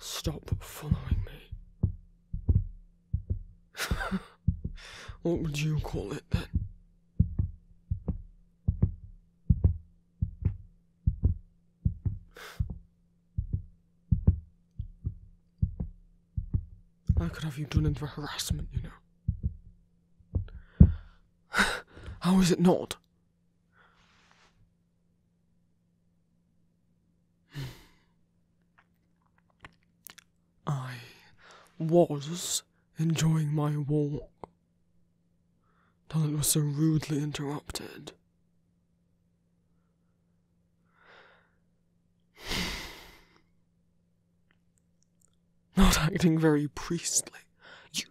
Stop following me. what would you call it then? I could have you done in for harassment, you know. How is it not? I was enjoying my walk till it was so rudely interrupted. Not acting very priestly. You.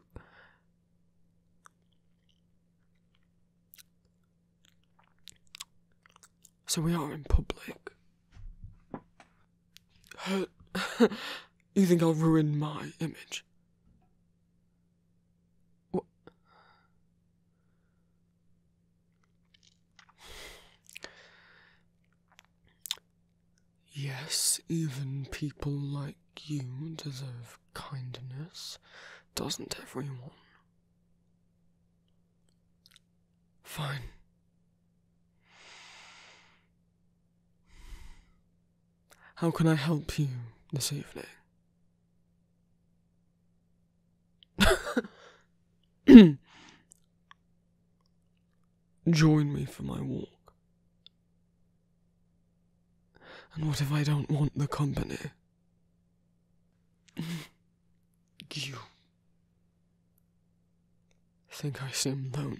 So we are in public. you think I'll ruin my image? What? Yes, even people like you deserve kindness, doesn't everyone? Fine. How can I help you this evening? Join me for my walk. And what if I don't want the company? you think I seem lonely.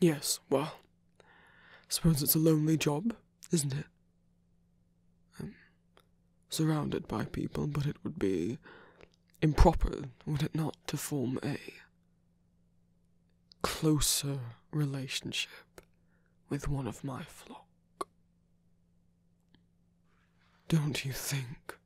Yes, well, suppose it's a lonely job, isn't it? surrounded by people, but it would be improper, would it not, to form a closer relationship with one of my flock? Don't you think?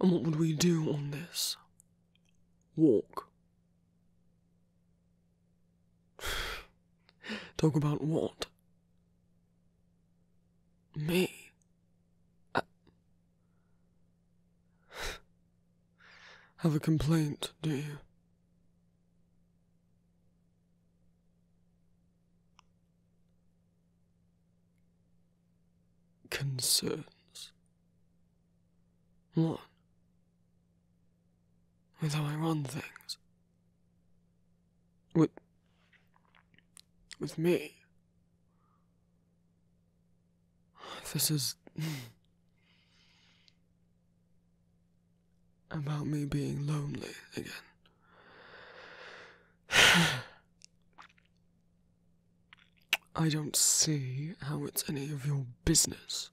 And what would we do on this? Walk. Talk about what? Me. Uh, Have a complaint, do you? concerns. One, with how I run things. With, with me. This is. about me being lonely again. I don't see how it's any of your business.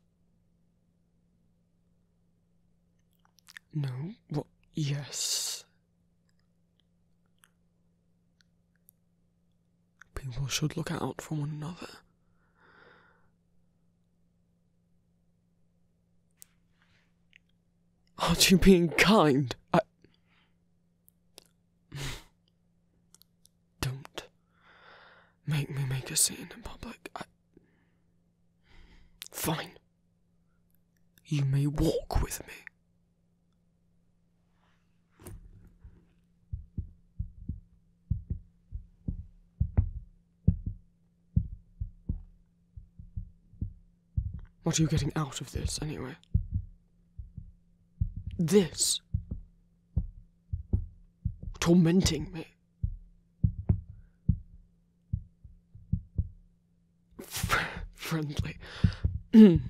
No, what? Yes. People should look out for one another. Aren't you being kind? I. Don't make me make a scene in public. I... Fine. You may walk with me. What are you getting out of this, anyway? This. Tormenting me. friendly. no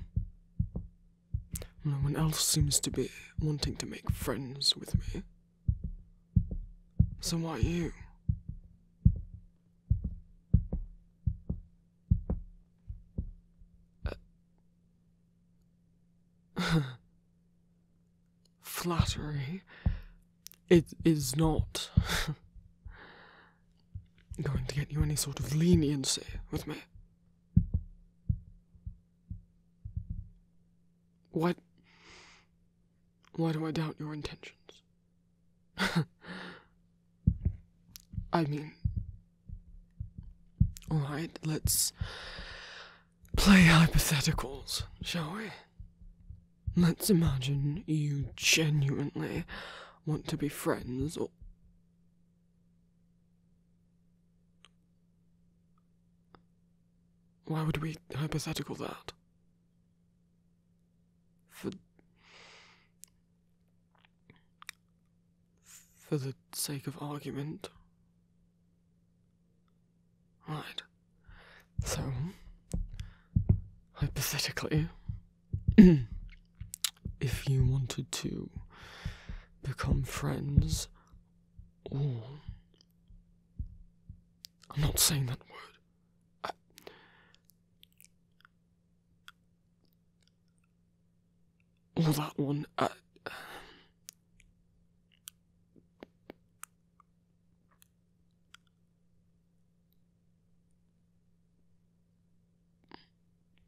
one else seems to be wanting to make friends with me. So why you? Uh, flattery. It is not going to get you any sort of leniency with me. What? Why do I doubt your intentions? I mean, alright, let's play hypotheticals, shall we? Let's imagine you genuinely want to be friends or. Why would we hypothetical that? For, for the sake of argument. Right. So, hypothetically, if you wanted to become friends, or. I'm not saying that word. I, that one. Uh,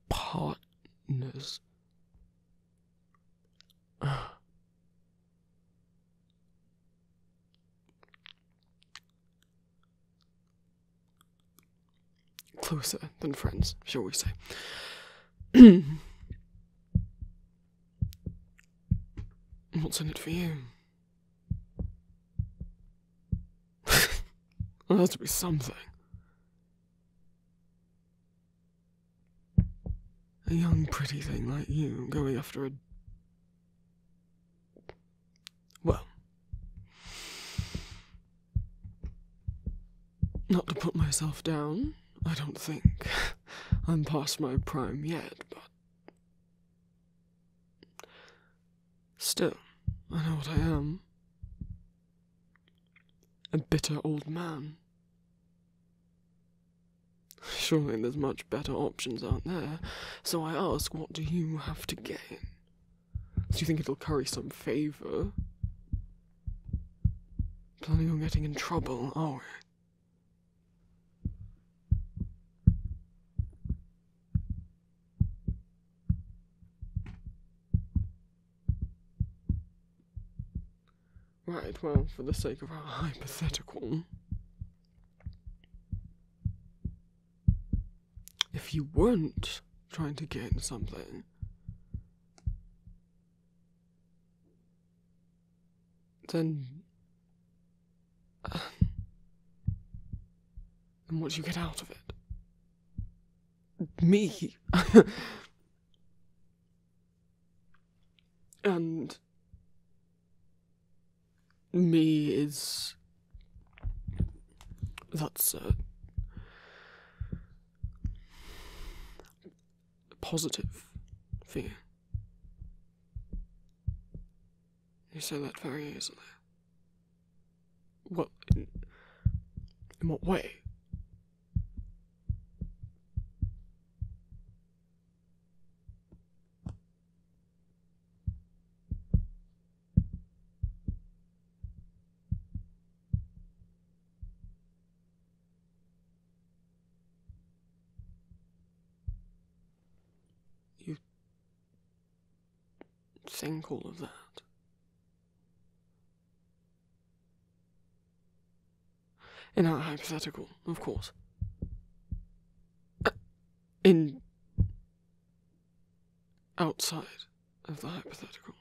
partners. Closer than friends, shall we say. What's in it for you? there has to be something. A young, pretty thing like you going after a well, not to put myself down, I don't think. I'm past my prime yet, but. Still, I know what I am. A bitter old man. Surely there's much better options out there, so I ask, what do you have to gain? Do you think it'll curry some favour? Planning on getting in trouble, are we? Right, well, for the sake of our hypothetical, if you weren't trying to gain something, then. Uh, and what you get out of it? Me? And me is that's a positive fear. You say that very easily. What? in what way? You think all of that? In our hypothetical, of course. in. outside of the hypothetical.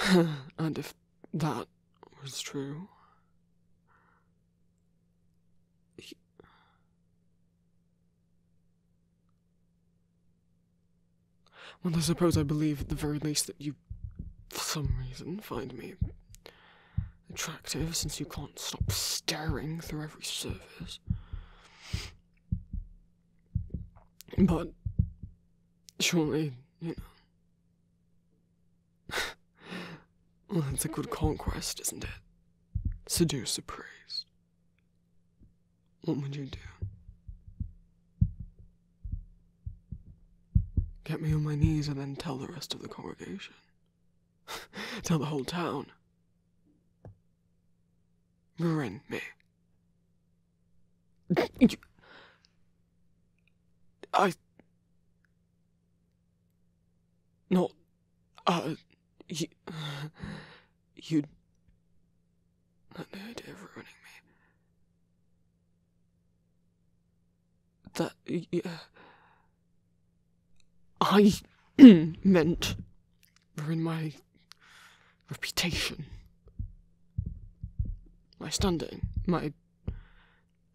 and if that was true. Well, I suppose I believe at the very least that you, for some reason, find me attractive since you can't stop staring through every surface. But surely, you know. it's a good conquest, isn't it? Seduce a priest what would you do? Get me on my knees and then tell the rest of the congregation. tell the whole town. Ruin me. I. no, Uh. You. you not the idea of ruining me. That. Yeah. I meant ruin my reputation, my standing, my.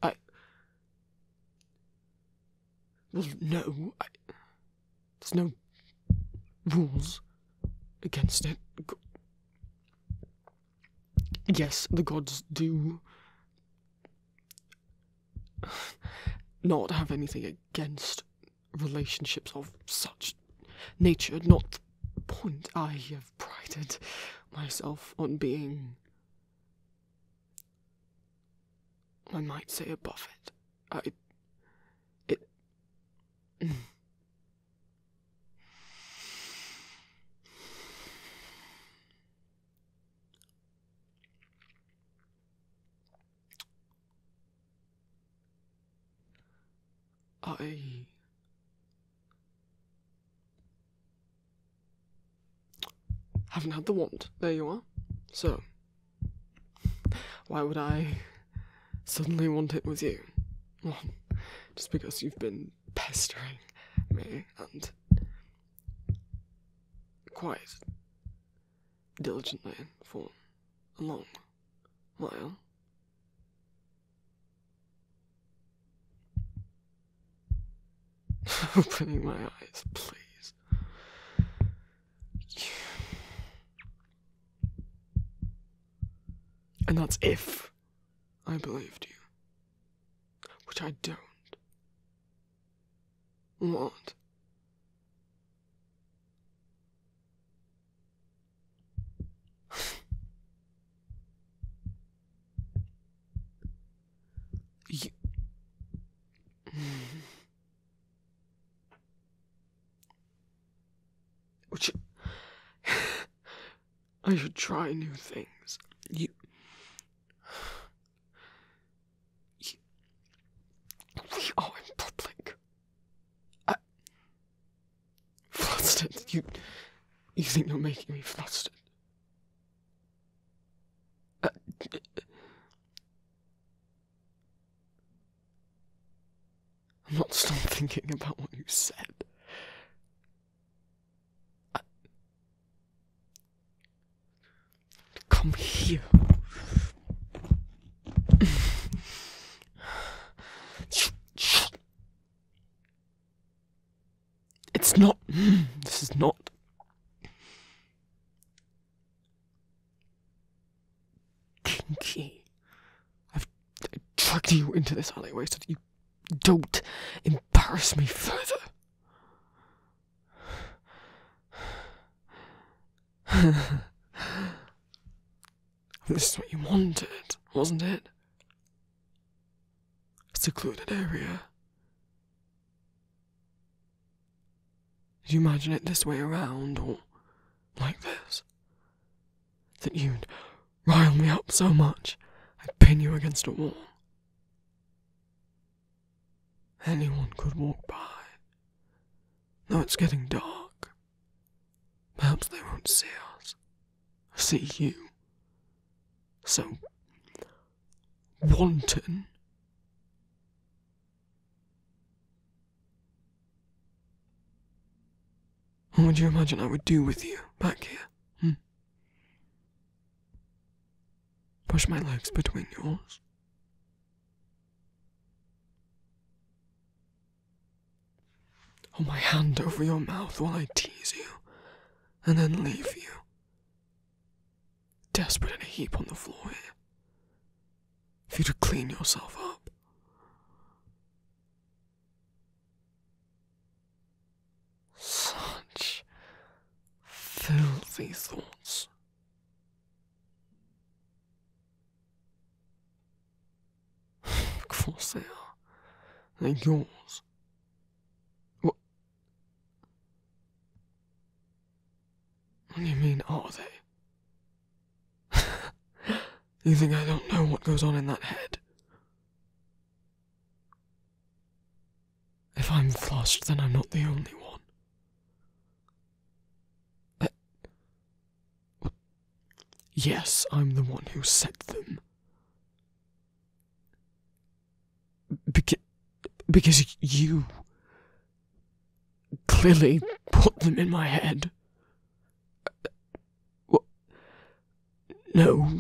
I. There's no, I. There's no rules against it. Yes, the gods do not have anything against relationships of such nature, not the point I have prided myself on being. I might say above it. I. It. I haven't had the wand. There you are. So, why would I suddenly want it with you. just because you've been pestering me and quite diligently for a long while. Opening my eyes, please. And that's if I believed you. Which I don't. What? you. Which I should try new things. You, you we are in public. I, flustered. You, you think you're making me flustered? Uh, I'm not stop thinking about what you said. Come here. It's not. Mm, this is not. Kinky. I've dragged you into this alleyway so that you don't embarrass me further. this is what you wanted, wasn't it? A secluded area. Did you imagine it this way around or like this? that you'd rile me up so much I'd pin you against a wall. Anyone could walk by. Now it's getting dark. Perhaps they won't see us. See you. So wanton. What would you imagine I would do with you back here? Hmm? Push my legs between yours. Hold my hand over your mouth while I tease you, and then leave you. Desperate in a heap on the floor here for you to clean yourself up. Such filthy thoughts. of They're yours. What? What do you mean, are they? you think I don't know what goes on in that head? If I'm flushed, then I'm not the only one. Eh. yes, I'm the one who set them. Beca because you clearly put them in my head. No,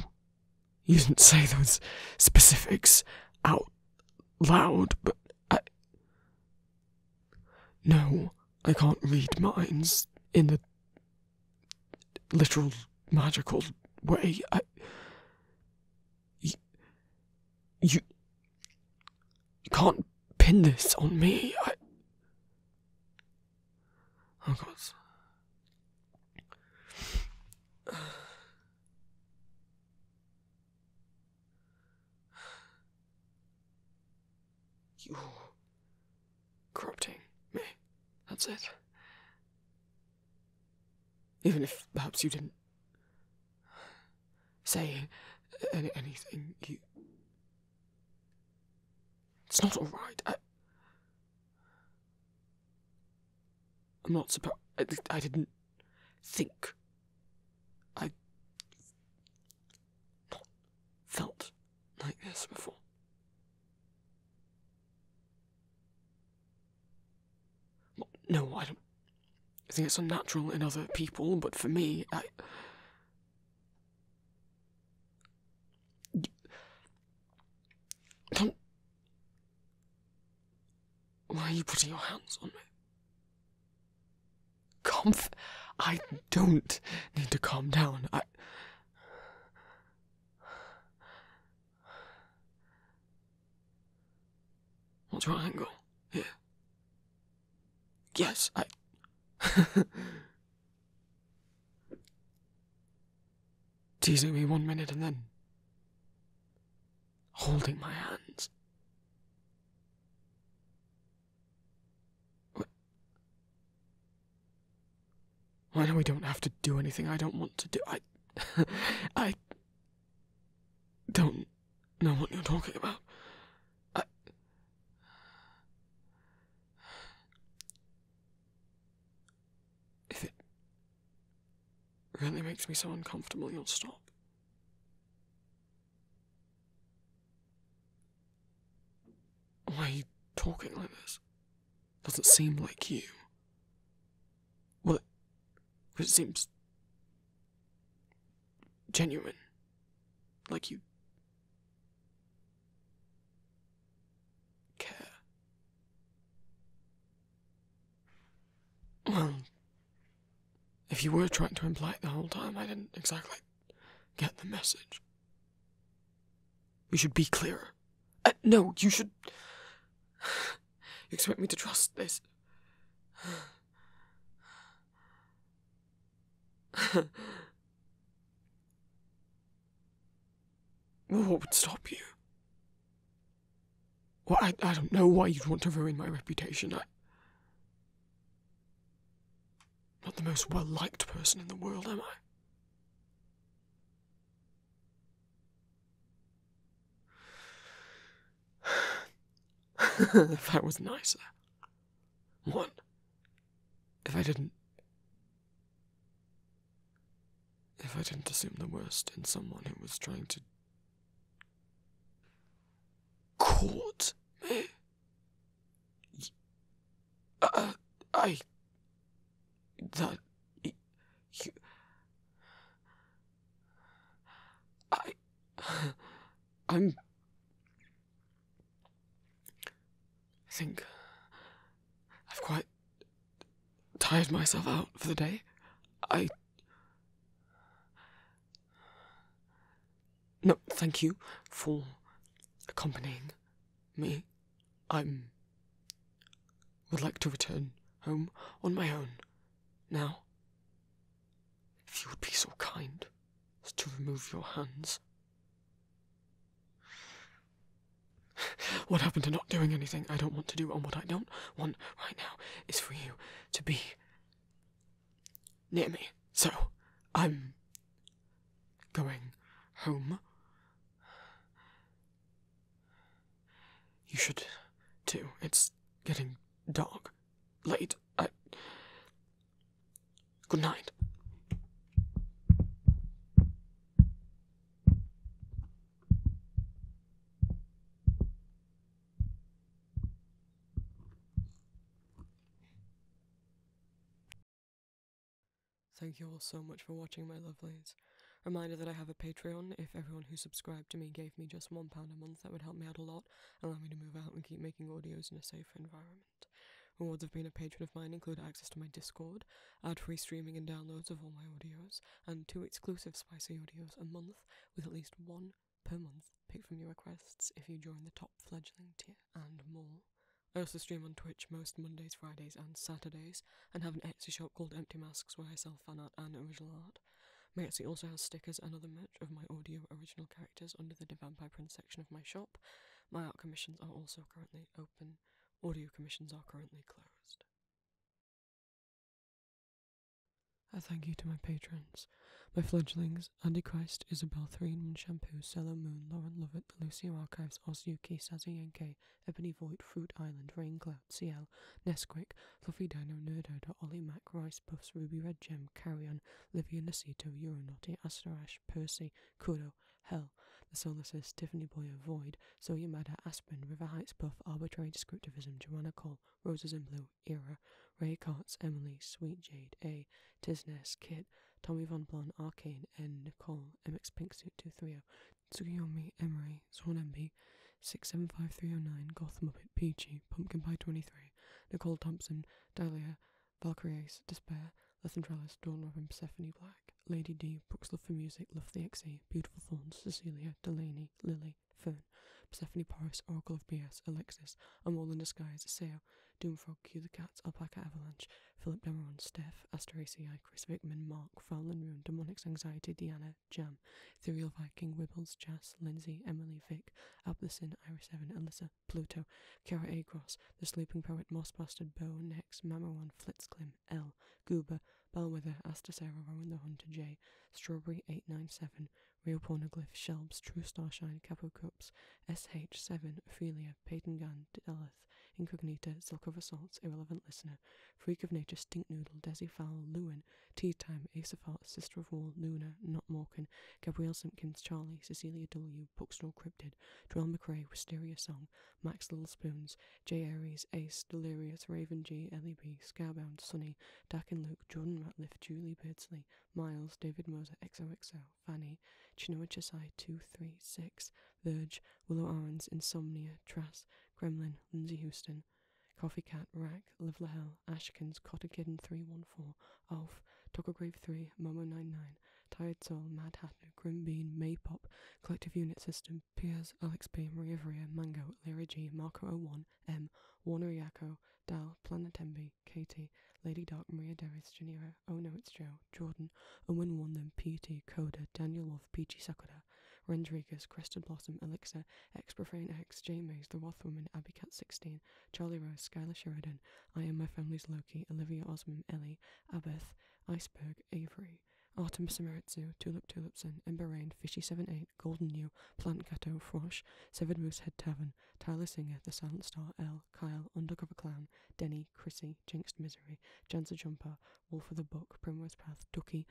you didn't say those specifics out loud, but No, I can't read minds in the literal magical way. I. You, you can't pin this on me. I. Oh God. You corrupting me. That's it. Even if perhaps you didn't say anything, you it's not all right. I, am not supposed. I, didn't think. I felt like this before. No, I don't. I think it's unnatural in other people, but for me, I. Why are you putting your hands on me? Calm. I don't need to calm down. I. What's your angle here? Yes, I. Teasing me one minute and then. holding my hands. I know we don't have to do anything I don't want to do. I. I. don't know what you're talking about. I. If it really makes me so uncomfortable, you'll stop. Why are you talking like this? Doesn't seem like you. What? it, it seems genuine. Like you care. Well, if you were trying to imply it the whole time, I didn't exactly get the message. We should be clearer. Uh, no, you should. expect me to trust this? what would stop you? Well, I, don't know why you'd want to ruin my reputation. I, am not the most well liked person in the world, am I? if I was nicer. What? If I didn't. If I didn't assume the worst in someone who was trying to. court me. Uh, I. That. You. I. I'm. I think I've quite tired myself out for the day. I. No, thank you for accompanying me. I'm. would like to return home on my own now. If you would be so kind as to remove your hands. What happened to not doing anything I don't want to do, and what I don't want right now is for you to be near me. So, I'm going home. You should too. It's getting dark late. Good night. Thank you all so much for watching, my lovelies. Reminder that I have a Patreon. If everyone who subscribed to me gave me just £1 a month, that would help me out a lot allow me to move out and keep making audios in a safer environment. Rewards have been a patron of mine include access to my Discord, ad free streaming and downloads of all my audios, and two exclusive spicy audios a month with at least one per month picked from your requests if you join the top fledgling tier, and more. I also stream on Twitch most Mondays, Fridays, and Saturdays, and have an Etsy shop called Empty Masks where I sell fan art and original art, card. Mercy also has stickers and other merch of my audio original characters under the Divan by Print section of my shop. My art commissions are also currently open. Audio commissions are currently closed. A thank you to my patrons. My fledglings, Andy Christ, Isabel Threenman Shampoo, Cello Moon, Lauren Lovett, The Lucia Archives, Osyuki, Sazayenke, Ebony Void, Fruit Island, Raincloud, Cloud, CL, Nesquick, Fluffy Dino, Nerdherder, Ollie Mac, Roy Iris Puffs, Ruby Red Gem, Carrion, Livia Nasito, Euronauty, Asterash, Percy, Kudo, Hell, The Solaces, Tiffany Boyer, Void, So Yamada, Aspen, River Heights Puff, Arbitrary Descriptivism, Joanna Cole, Roses in Blue, Era, Ray Cots, Emily, Sweet Jade, A, Tisness, Kit, Tommy Von Blon, Arcane, N, Nicole, MX Pinksuit 230, Tsukiyomi, Emery, Swan MB, 675309, Goth Muppet, Peachy, Pumpkin Pie 23, Nicole Thompson, Dahlia, Valkyries, Despair, Lethentrellis, Dawn of Persephone Black, Lady D, Brooks Love for Music, Love the XE, Beautiful Fawns, Cecilia, Delaney, Lily, Fern, Persephone Paris, Oracle of BS, Alexis, A Mole in Disguise, Sale, Doomfrog, Cue the Cats, Alpaca Avalanche, Philip Demeron, Steph, Asteracei, Chris Wickman, Mark, Foul and Ruin, Demonics Anxiety, Diana, Jam, Ethereal Viking, Wibbles, Jas, Lindsay, Emily, Vic, Ablesin, Iris seven, Alyssa, Pluto, Kara A. cross The Sleeping Poet, Moss Bastard, Bo, Nex, Mamawan, Flitzclim, L, Goober, Bellwether, Astasera, Rowan the Hunter, J, Strawberry 897, Real Pornoglyph, Shelbs, True Starshine, Capo Cups, SH7, Ophelia, Peyton Gun Delith, Incognita, Silk of Assaults, Irrelevant Listener, Freak of Nature, Stinknoodle Desi Fowl, Lewin, Owen, Tea Time, Hearts. Sister of Wall, Luna, Not Morgan, Gabrielle Simpkins, Charlie, Cecilia W., Bookstore Cryptid, Joel McRae, Wisteria Song, Max Littlespoons. J. Aries, Ace, Delirious, Raven G, Ellie B, Scarbound, Sunny, Dak and Luke, Jordan Ratliff, Julie Birdsley, Miles, David Moser, XOXO, Fanny, Chinua Chasai, 236, Verge, Willow Arons, Insomnia, Trass, Kremlin. Lindsay Houston, Coffee Cat, Rack, Live Hell, Ashkins, Cotter Kitten 314, Alf, Toggle 3, momo nine nine Tired Soul, Mad hat Grim Bean, pop Collective Unit System, Piers, Alex B, Maria Mango, Lyra G, Marco01, M, Warner Yako, Dal, Planet MB, Katie, Lady Dark, Maria Deris, Janira, Oh No It's Joe, Jordan, Owen One Them, PT, Coda, Daniel Love, Peachy Sakura, Rendriguez, Crested Blossom, Elixir, Ex-Profane X, J Mays, The Wothwoman, Abby Cat 16, Charlie Rose, Skylar Sheridan, I Am My Family's Loki, Olivia Osman, Ellie, Abeth, Iceberg, Avery, Artemis Samaritsu, Tulip Tulipson, Ember Rain, Fishy78, Golden New, Plant Cato, Frosh, Severed Moosehead Tavern, Tyler Singer, The Silent Star, L, Kyle, Undercover Clown, Denny, Chrissy, Jinxed Misery, Jancer Jumper, Wolf of the Book, Primrose Path, Ducky,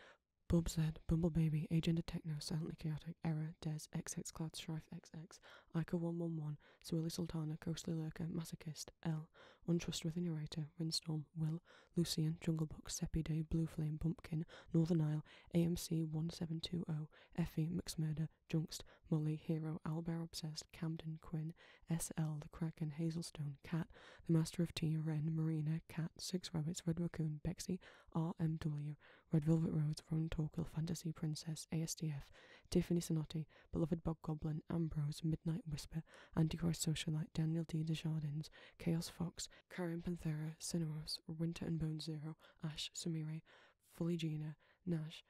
Bub said, Bumble Baby, Agenda Techno, Silently Chaotic, Error, Des, XX Cloud, Strife XX, Ica 111, Swilly Sultana, Ghostly Lurker, Masochist, L, Untrustworthy Narrator, Windstorm, Will, Lucian, Jungle Book, Seppy Day, Blue Flame, Bumpkin, Northern Isle, AMC 1720, Effie, McMurder, Junkst, Molly, Hero, Owlbear Obsessed, Camden, Quinn, SL, The Kraken, Hazelstone, Cat, The Master of Tea, Wren, Marina, Cat, Six Rabbits, Red Raccoon, R.M. RMW, Red Velvet Rose, Rowan Torquil, Fantasy Princess, ASDF, Tiffany Sonotti, Beloved Bog Goblin, Ambrose, Midnight Whisper, Antichrist Socialite, Daniel D. Desjardins, Chaos Fox, Karen Panthera, Cineros, Winter and Bone Zero, Ash, Sumire, Fully Nash,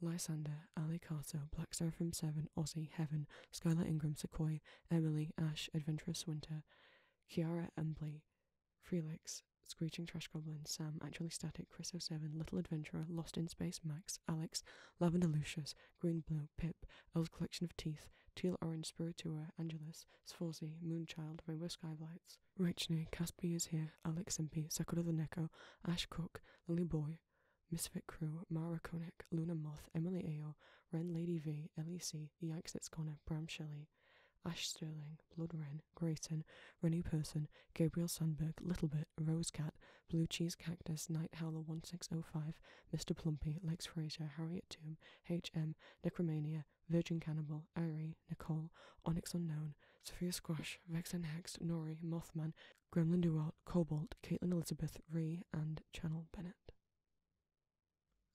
Lysander, Ali Carter, Black Seraphim 7, Aussie, Heaven, Skylar Ingram, Sequoia, Emily, Ash, Adventurous Winter, Kiara Embley, Felix, Screeching Trash Goblin, Sam, Actually Static, Chris 07, Little Adventurer, Lost in Space, Max, Alex, Lavender Lucius, Green Blue, Pip, old Collection of Teeth, Teal Orange Spiritua, Angelus, Sforzi, Moonchild, Rainbow Skylights, Rachne, Caspi is here, Alex and Impy, Sakura the Neko, Ash Cook, Lily Boy, Misfit Crew, Mara Koenig, Luna Moth, Emily Ao, Ren Lady V, Ellie C, Yanks It's Corner, Bram Shelley, Ash Sterling, Blood Grayson, Grayton, Rennie Person, Gabriel Sandberg, Littlebit, Rosecat, Blue Cheese Cactus, Night Howler 1605, Mr. Plumpy, Lex Fraser, Harriet Tomb, H.M., Necromania, Virgin Cannibal, Irie, Nicole, Onyx Unknown, Sophia Squash, Vex Hex, Nori, Mothman, Gremlin Duart, Cobalt, Caitlin Elizabeth, Ree, and Channel Bennett.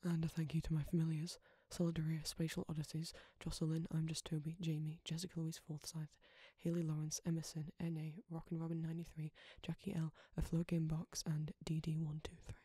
And a thank you to my familiars Solidaria, Spatial Odysseys, Jocelyn, I'm Just Toby, Jamie, Jessica Louise Forsyth, Haley Lawrence, Emerson, N.A., Rock and Robin 93, Jackie L., A Flow Game Box, and D. D. 123